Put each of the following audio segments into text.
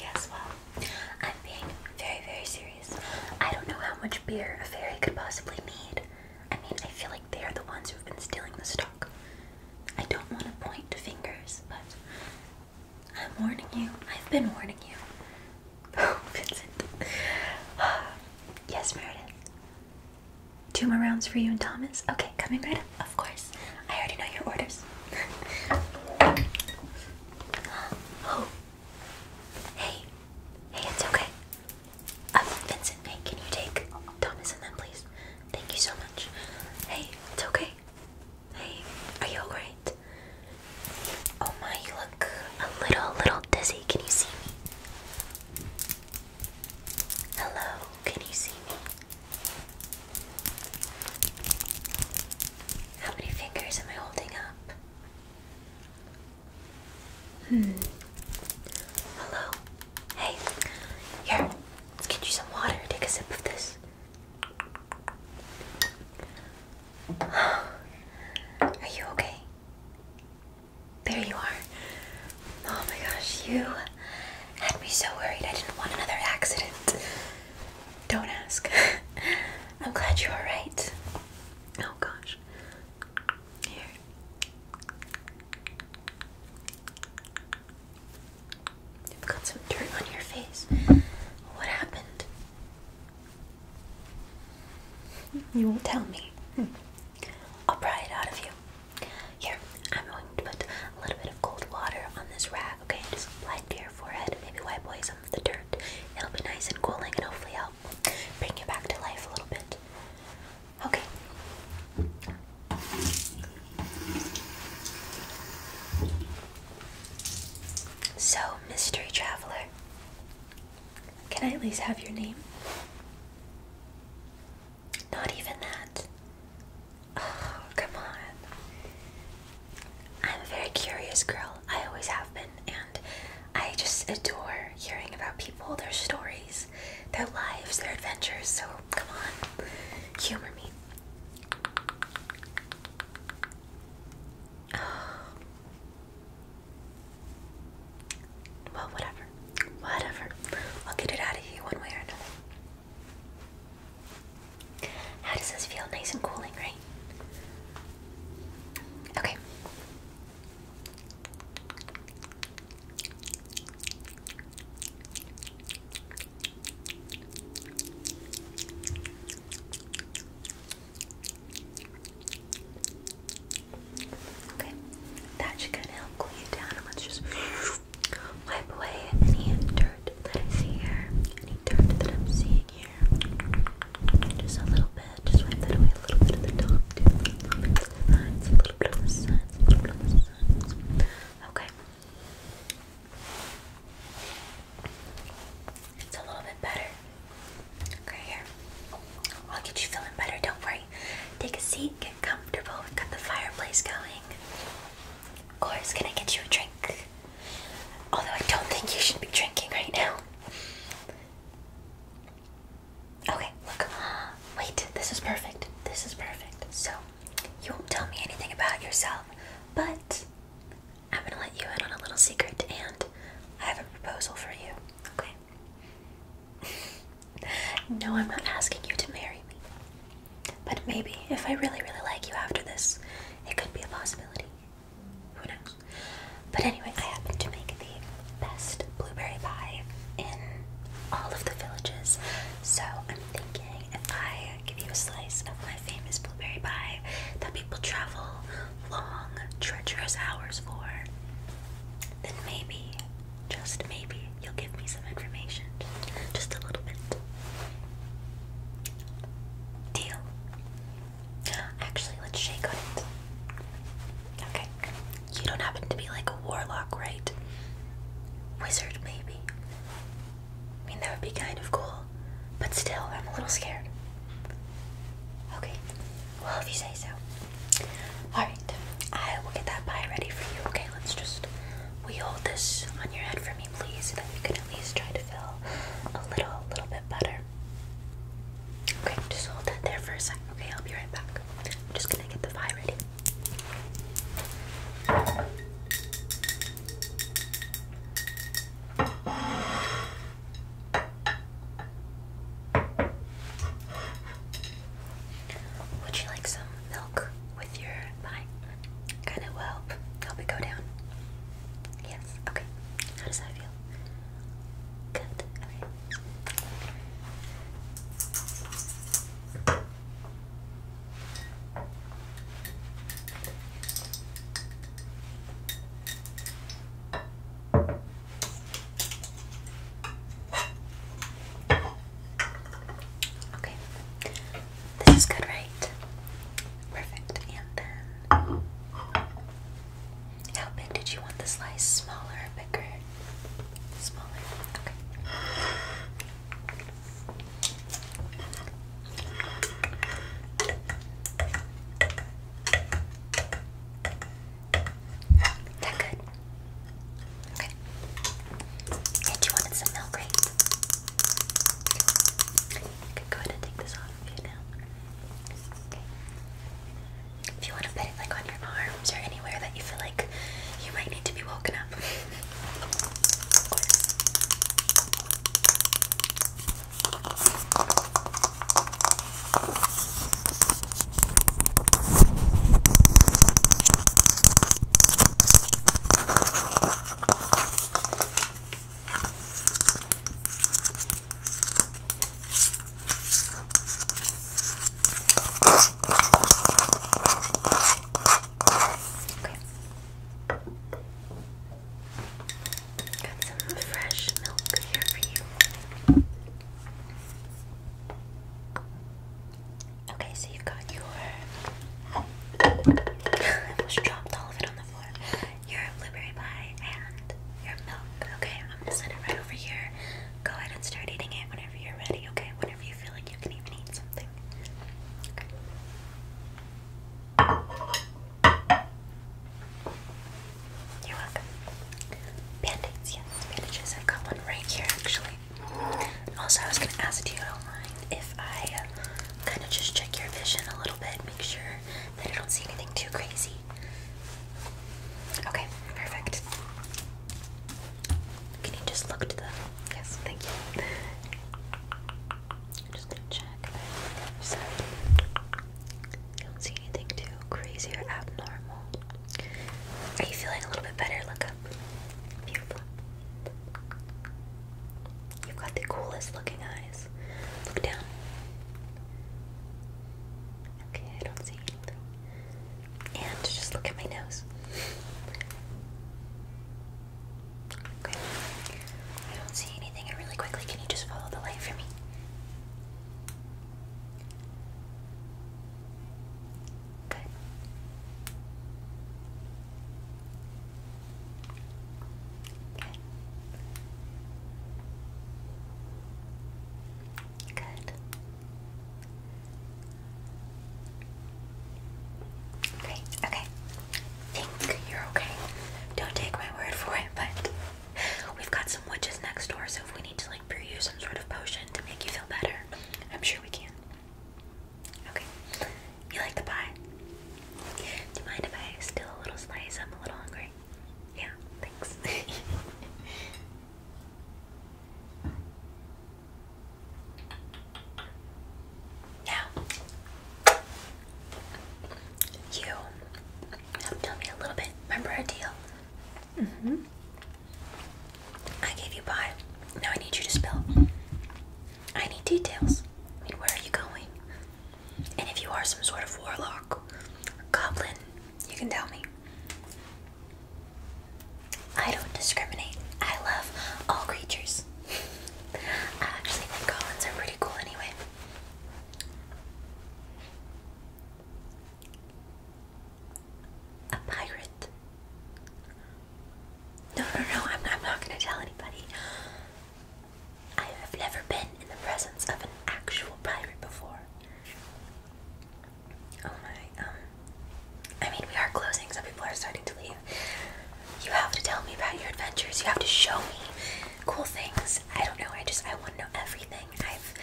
Yes, well, I'm being very, very serious. I don't know how much beer a fairy could possibly need. I mean, I feel like they are the ones who've been stealing the stock. I don't want to point to fingers, but I'm warning you. I've been warning you. Oh, Vincent. yes, Meredith. Two more rounds for you and Thomas? Okay, coming right of course. I already know your orders. oh. Hey. Hey, it's okay. Um, Vincent, hey, can you take Thomas and them, please? Thank you so much. Hey, it's okay. Hey, are you alright? Oh my, you look a little, little dizzy. Can you see me? Hello, can you see me? How many fingers am I holding up? Hmm. Hello. Hey. Here. Let's get you some water. Take a sip of this. Are you okay? There you are. Oh my gosh, you had me so worried. I didn't want another accident. Don't ask. I'm glad you're right. Oh gosh. Here. You've got some dirt on your face. What happened? You won't tell me. Hmm. I'll pry it out of you. Here, I'm going to put a little bit of cold water on this rag, okay? Just apply it to your forehead, maybe wipe away some of the dirt. It'll be nice and cooling and hopefully help bring you back to life a little bit. Okay. So, mystery traveler, can I at least have your name? Not even that. Oh, come on. I'm a very curious girl. I always have been, and I just adore hearing about people, their stories, their lives, their adventures. So, come on. Humor me. Well, whatever. Whatever. I'll get it out of you one way or another. How does this feel? Nice and cooling, right? Okay. Okay, that should kind of help cool you down, and let's just Wipe away any dirt that I see here, any dirt that I'm seeing here. Just a little bit, just wipe that away a little bit at the top, A little bit to the sides, a little bit on the sides, a little bit on the sides. Okay. It's a little bit better. Okay, here. I'll get you feeling better, don't worry. Take a seat, get comfortable, we've got the fireplace going. Of course, can I get you a drink? Although I don't think you should be drinking right now. Okay, look. Wait, this is perfect. This is perfect. So, you won't tell me anything about yourself, but I'm gonna let you in on a little secret and I have a proposal for you, okay? no, I'm not asking you to marry me. But maybe, if I really, really like you after this, it could be a possibility. Who knows? But anyway, I happen to make the best blueberry pie in all of the villages. So I'm thinking if I give you a slice of my famous blueberry pie that people travel long, treacherous hours for, then maybe, just maybe, you'll give me some information. Just a little bit. Deal. Actually, let's shake it. Okay. You don't happen to be like a warlock, right? Wizard, maybe. I mean, that would be kind of cool. But still, I'm a little scared. Okay. Well, if you say so. Alright. I will get that pie ready for you. Okay, let's just we hold this on your head for me, please, so that we can at least try to feel a little, little bit better? Okay, just hold that there for a second. Okay, I'll be right back. I'm just gonna get the fire ready. Would you like some milk with your pie? Kind of will help. Help it go down. Yes. Okay. How does that feel? Good. Okay. Okay. This is good, right? Perfect. And then how big did you want the slice? Smaller bigger? Smaller. Okay. That good. Okay. And you wanted some milk, Okay. go ahead and take this off of now. If you want to put it like on your arms or anywhere that you feel like you might need to be woken up. Got some fresh milk here for you. Okay, so you've got your. I almost dropped all of it on the floor. Your blueberry pie and your milk. Okay, I'm gonna set it right over here. Go ahead and start eating it whenever you're ready, okay? Whenever you feel like you can even eat something. Okay. You're welcome. band yes, bandages. I've got one right here actually. Also, I was gonna ask you if I uh, kind of just check your vision a little bit, make sure that I don't see anything too crazy. Okay, perfect. Can you just look to the? Yes, thank you. just gonna check the Don't see anything too crazy or abnormal. Are you feeling a little bit better? Look up. Beautiful. You've got the coolest looking eyes. Look down. Okay, I don't see anything. And just look at my nose. Okay. I don't see anything. And really quickly, can you just follow the light for me? Good. Good. Good. Great. Okay. Think you're okay. Don't take my word for it, but we've got some witches next door, so if we need to like brew you some sort of potion to make you feel better, I'm sure we can. Okay. You like the pie? Do you mind if I steal a little slice? I'm a little hungry. Yeah, thanks. now, you have tell me a little bit. Remember our deal? Mm hmm. I gave you pie. Now I need you to spill. I need details. I mean, where are you going? And if you are some sort of warlock or goblin, you can tell me. I don't discriminate. I love all creatures. I actually think goblins are pretty cool anyway. A pirate. No, no, no, I'm, I'm not going to tell anybody. I have never been in the presence of an actual pirate before. Oh my, um. I mean, we are closing, some people are starting to leave. You have to tell me about your adventures, you have to show me cool things. I don't know, I just, I want to know everything. I've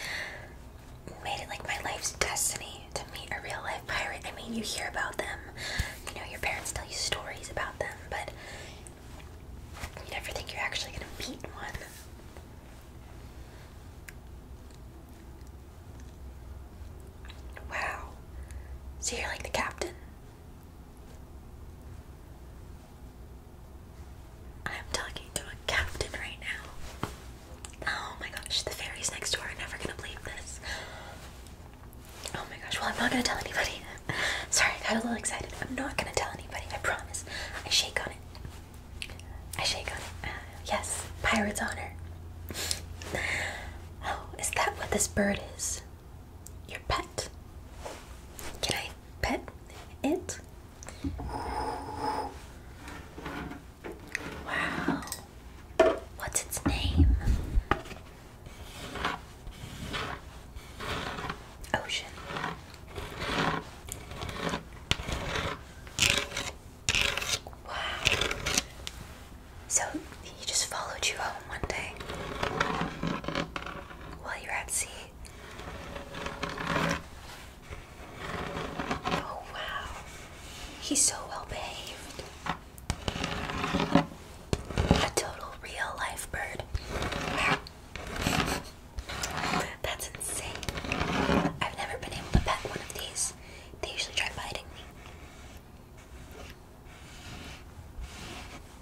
made it like my life's destiny to meet a real life pirate. I mean, you hear about them, you know, your parents tell you stories about them, but you never think you're actually gonna meet one. Wow. So you're like the captain. I'm talking to a captain right now. Oh my gosh, the fairies next door are never gonna believe this. Oh my gosh, well, I'm not gonna tell anybody. Sorry, I got a little excited. I'm not gonna tell anybody, I promise. I shake on it. I shake on it. Uh, yes, Pirate's Honor. Oh, is that what this bird is? Your pet? Can I pet it? Wow. What's its name? Ocean. Wow. So he just followed you home one day while you were at sea. Oh wow. He's so well behaved. A total real life bird. That's insane. I've never been able to pet one of these. They usually try biting me.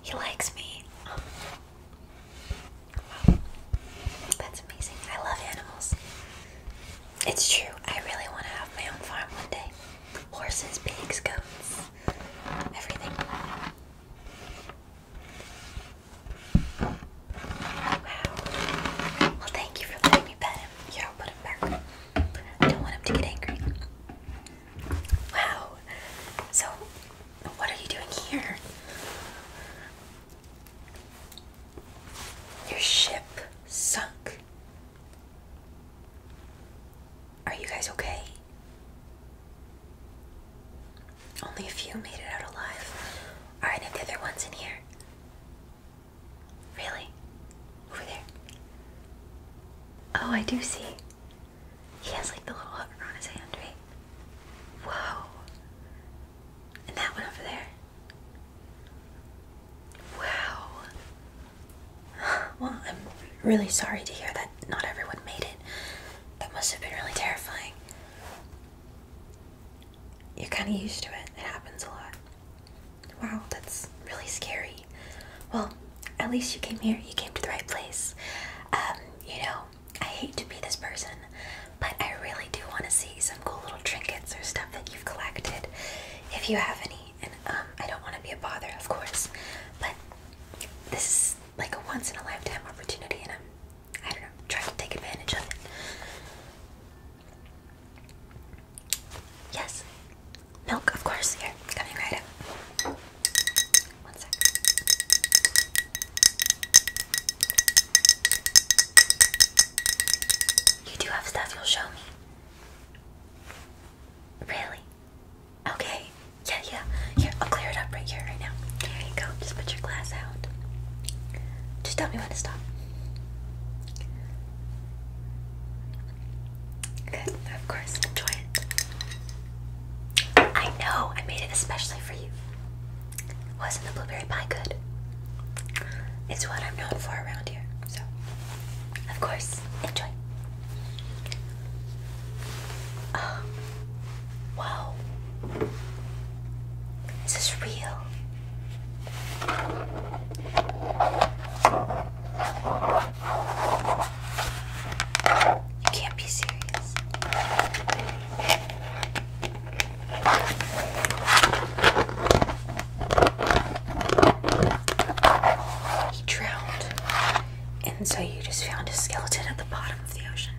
He likes me. Wow. That's amazing. I love animals. It's true. I really want to have my own farm one day. Horses, pigs, goats, everything. Wow. Well, thank you for letting me pet him. Here, I'll put him back. don't want him to get angry. Wow. So, what are you doing here? Your ship sunk. Are you guys okay? Only a few made it out alive. Are any of the other ones in here? Really? Over there? Oh, I do see. He has like the little hook on his hand, right? Whoa. And that one over there. Wow. Well, I'm really sorry to hear that not everyone made it. That must have been really terrifying. You're kind of used to it, it happens a lot. Wow, that's really scary. Well, at least you came here, you came to the right place. Um, you know, I hate to be this person, but I really do want to see some cool little trinkets or stuff that you've collected. If you have any, and um, I don't want to be a bother, of course, but this is like a once in a lifetime opportunity, and I'm, I don't know, trying to take advantage of it. Yes, milk, of course, here, coming right up. One sec. You do have stuff you'll show me. Really? Okay. Yeah, yeah. Here, I'll clear it up right here, right now. There you go. Just put your glass out. Just tell me when to stop. Good. Of course. Enjoy it. I know. I made it especially for you. Wasn't the blueberry pie good? It's what I'm known for around here. So, of course, enjoy. Um, wow. This is real. You can't be serious. He drowned. And so you just found his skeleton at the bottom of the ocean.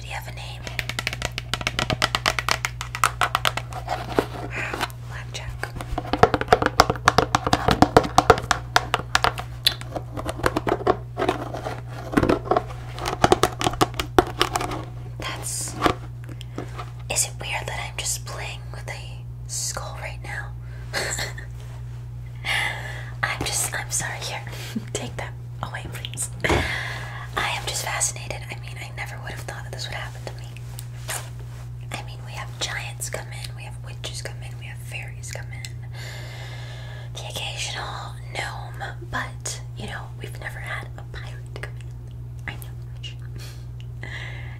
Did he have a name? Blackjack. That's. Is it weird that I'm just playing with a skull right now? I'm just. I'm sorry. Here, take that. Oh wait, please. I am just fascinated. I mean, I never would have thought that this would happen to me. I mean, we have giants come in, we have witches come in, we have fairies come in, the occasional gnome, but you know, we've never had a pirate come in. I know,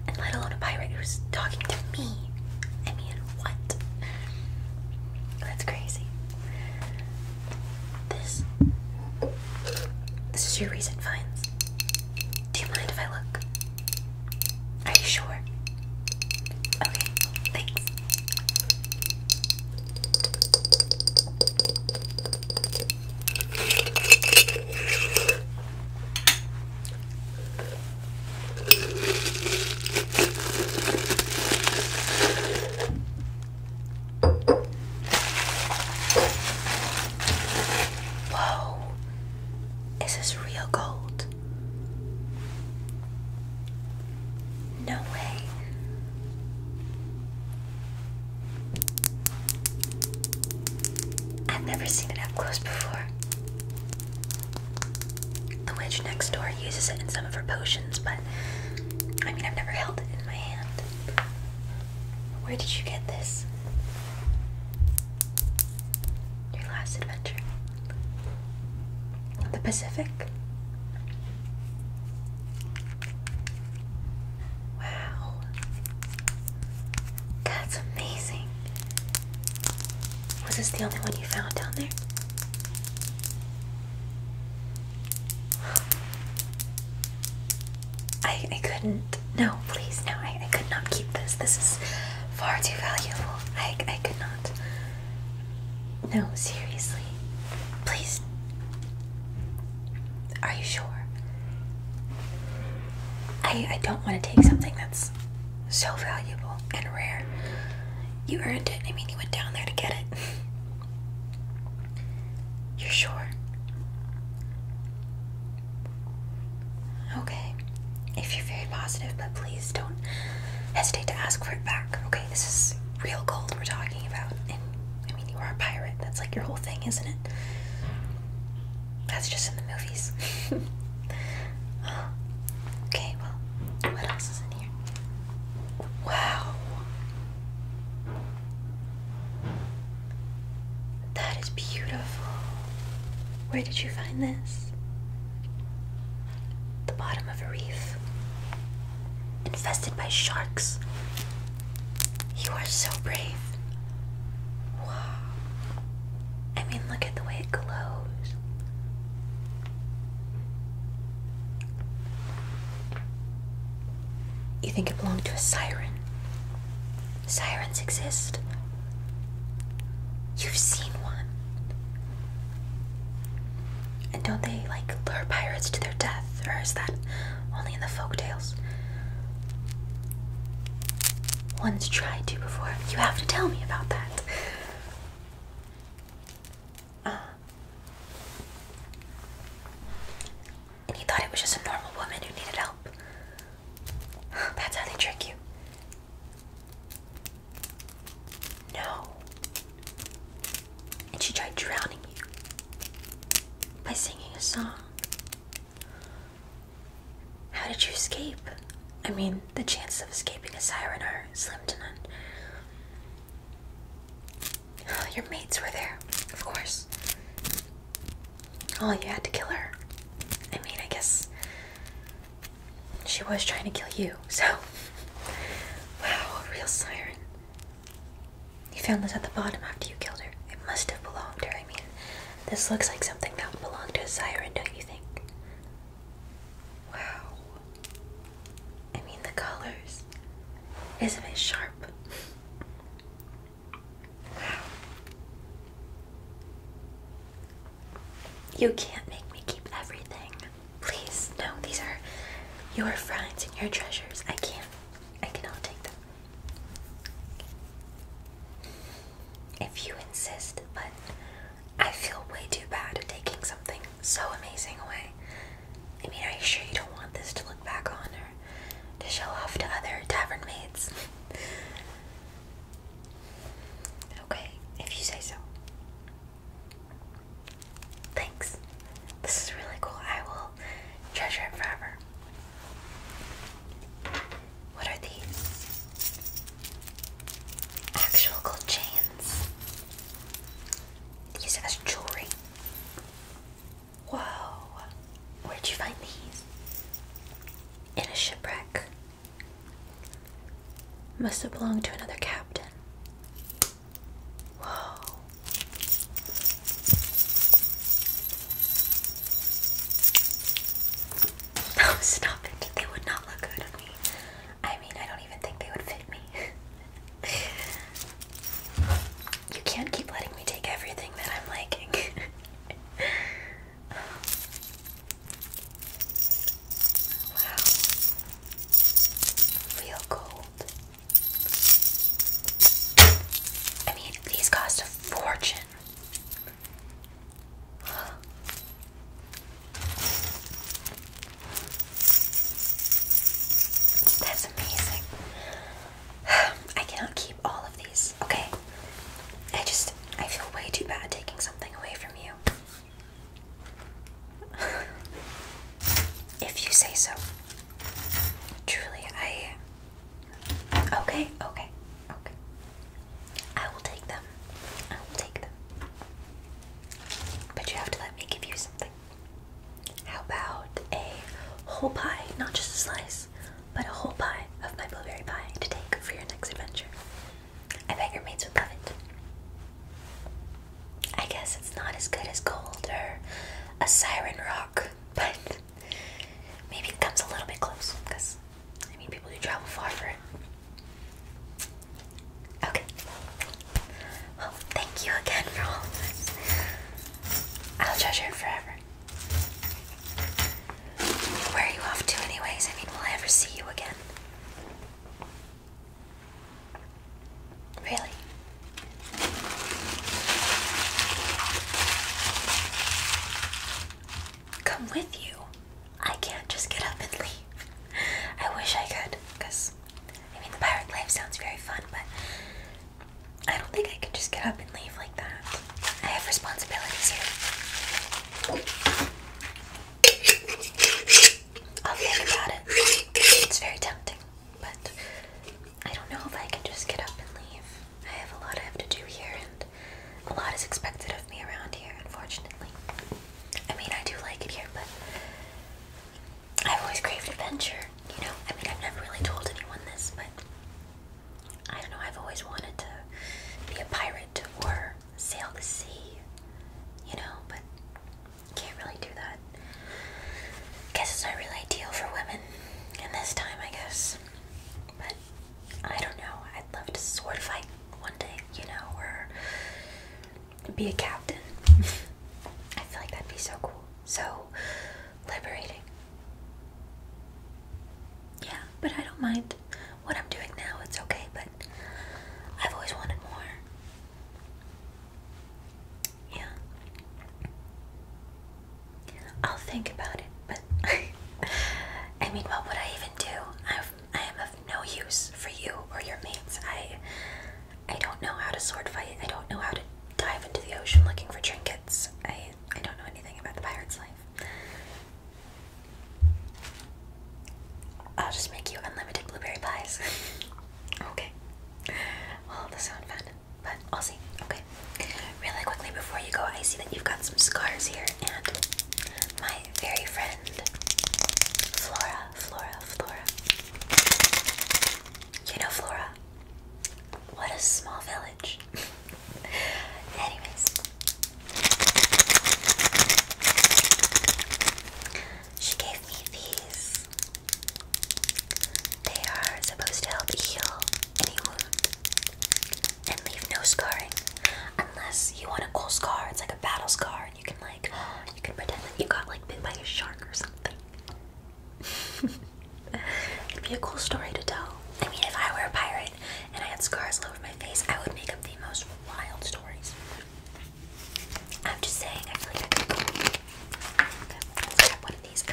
and let alone a pirate who's talking to me. I mean, what? That's crazy. This. This is your recent finds. Do you mind if I look? Are you sure? Okay, thanks. Whoa, is this real gold? No way. I've never seen it up close before. The witch next door uses it in some of her potions, but I mean, I've never held it in my hand. Where did you get this? Your last adventure? The Pacific? Wow. That's amazing. Was this the only one you found down there? I, I couldn't. No, please, no. I, I could not keep this. This is far too valuable. I, I could not. No, seriously. Please. Are you sure? I, I don't want to take something that's so valuable and rare. You earned it. I mean, you went down there to get it. You're sure? Okay. If you're very positive, but please don't hesitate to ask for it back. Okay, this is real gold we're talking about. And I mean, you are a pirate. That's like your whole thing, isn't it? That's just in the movies. okay, well, what else is in here? Wow. That is beautiful. Where did you find this? The bottom of a reef. Infested by sharks. You are so brave. Wow. I mean, look at the way it glows. You think it belonged to a siren? Sirens exist. You've seen one. And don't they, like, lure pirates to their death? Or is that only in the folk tales? One's tried to before. You have to tell me about that. Um, and he thought it was just a normal woman who needed help. That's how they trick you. No. And she tried drowning you by singing a song. How did you escape? I mean, the chances of escaping a siren are slim to none. Oh, your mates were there, of course. Oh, you had to kill her. I mean, I guess she was trying to kill you, so. Wow, a real siren. You found this at the bottom after you killed her. It must have belonged to her. I mean, this looks like something that would belong to a siren, don't you think? Wow. I mean, the colors. Isn't it sharp? You can't make me keep everything. Please, no, these are your finds and your treasures. I can't. I cannot take them. If you insist, but I feel way too bad taking something so amazing away. I mean, are you sure you don't want this to look back on or to show off to other tavern maids? okay, if you say so. Thanks. This is really cool. I will treasure it forever. What are these? Actual gold chains. These as jewelry. Whoa! Where'd you find these? In a shipwreck. Must have belonged to another captain. Whoa. No, oh, stop it. They would not look good on me. I mean, I don't even think they would fit me. you can't keep letting me take everything that I'm liking. wow. Real gold. I mean, these cost a fortune. That's amazing. I cannot keep all of these, okay? I just, I feel way too bad taking something away from you. if you say so. Truly, I. Okay, okay, okay. I will take them. I will take them. But you have to let me give you something. How about a whole pie, not just a slice, but a whole pie of my blueberry pie to take for your next adventure? I bet your mates would love it. I guess it's not as good as gold or a siren rock, but maybe it comes a little bit close because I mean, people who travel far for it. Okay. Well, thank you again for all this. I'll treasure it forever. Where are you off to, anyways? I mean, will I ever see you again? Really? Come with you. I can't just get up and leave. I wish I could, because I mean, the pirate life sounds very fun, but I don't think I can just get up and leave like that. I have responsibilities here. I'll think about it. It's very tempting, but I don't know if I can just get up and leave. I have a lot I have to do here, and a lot is expected of me around here, unfortunately. I mean, I do like it here, but I've always craved adventure, you know. I mean, I've never really told anyone this, but I don't know. I've always wanted to be a pirate or sail the sea, you know, but can't really do that. Guess it's not really ideal for women in this time, I guess. But I don't know. I'd love to sword fight one day, you know, or be a captain. I feel like that'd be so cool. So liberating. Yeah, but I don't mind what I'm doing now. It's okay, but I've always wanted more. Yeah. I'll think about it, but I mean, what would I even do? I've, I am of no use for you or your mates. I I don't know how to sword fight. I don't know how to dive into the ocean looking for trinkets. I I don't know anything about the pirate's life. I'll just make you unlimited blueberry pies. okay. Well, this sounds fun, but I'll see. Okay. Really quickly before you go, I see that you've got some scars here, and my very friend Flora, Flora, Flora, you know, Flora, what a small village. Anyways, she gave me these. They are supposed to help heal any wound and leave no scarring. Unless you want a cool scar, it's like a battle scar you can like, you can pretend that you got like bit by a shark or something. would be a cool story to tell. I mean, if I were a pirate and I had scars all over my face, I would make up the most wild stories. I'm just saying, I feel like one of these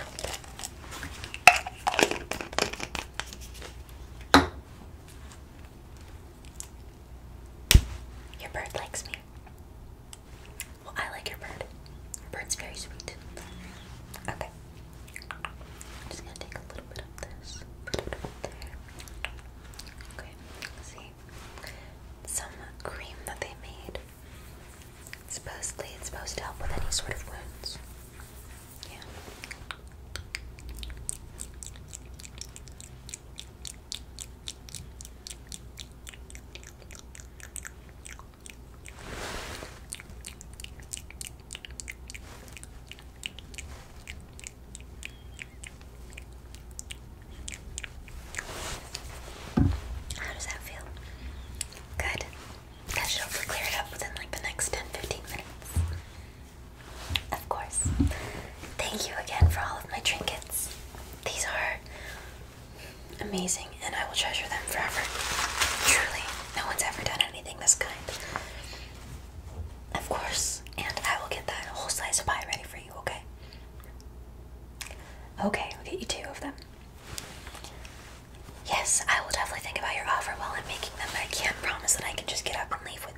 Your bird likes me. Well, I like your bird. bird's very sweet. Okay. I'm just gonna take a little bit of this. Okay, see. Some cream that they made. Supposedly it's supposed to help with any sort of wounds. Yeah. How does that feel? Good. That should hopefully clear it up within like the next 10 minutes. Of course. Thank you again for all of my trinkets. These are amazing and I will treasure them forever. Truly, no one's ever done anything this kind. Of course, and I will get that whole slice of pie ready for you, okay? Okay, we'll get you two of them. Yes, I will definitely think about your offer while I'm making them, but I can't promise that I can just get up and leave with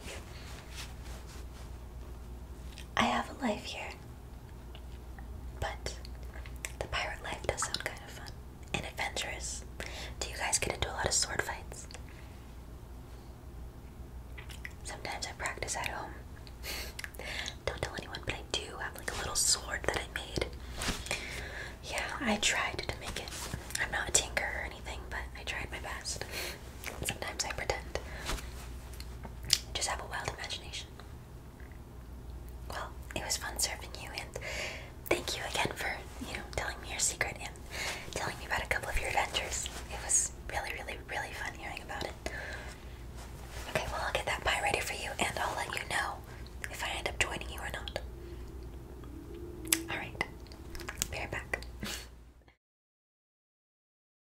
you. I have a life here, but the pirate life does sound kind of fun and adventurous. Do you guys get into a lot of sword fights? Sometimes I practice at home. Don't tell anyone, but I do have like a little sword that I made. Yeah, I tried to make it. I'm not a tinker or anything, but I tried my best. Sometimes I pretend. Just have a wild imagination. Well, it was fun serving you, and thank you again for you know telling me your secret and telling me about a couple of your adventures. It was really, really, really fun hearing about it. Okay, well I'll get that pie ready for you, and I'll let you know if I end up joining you or not. All right, be right back.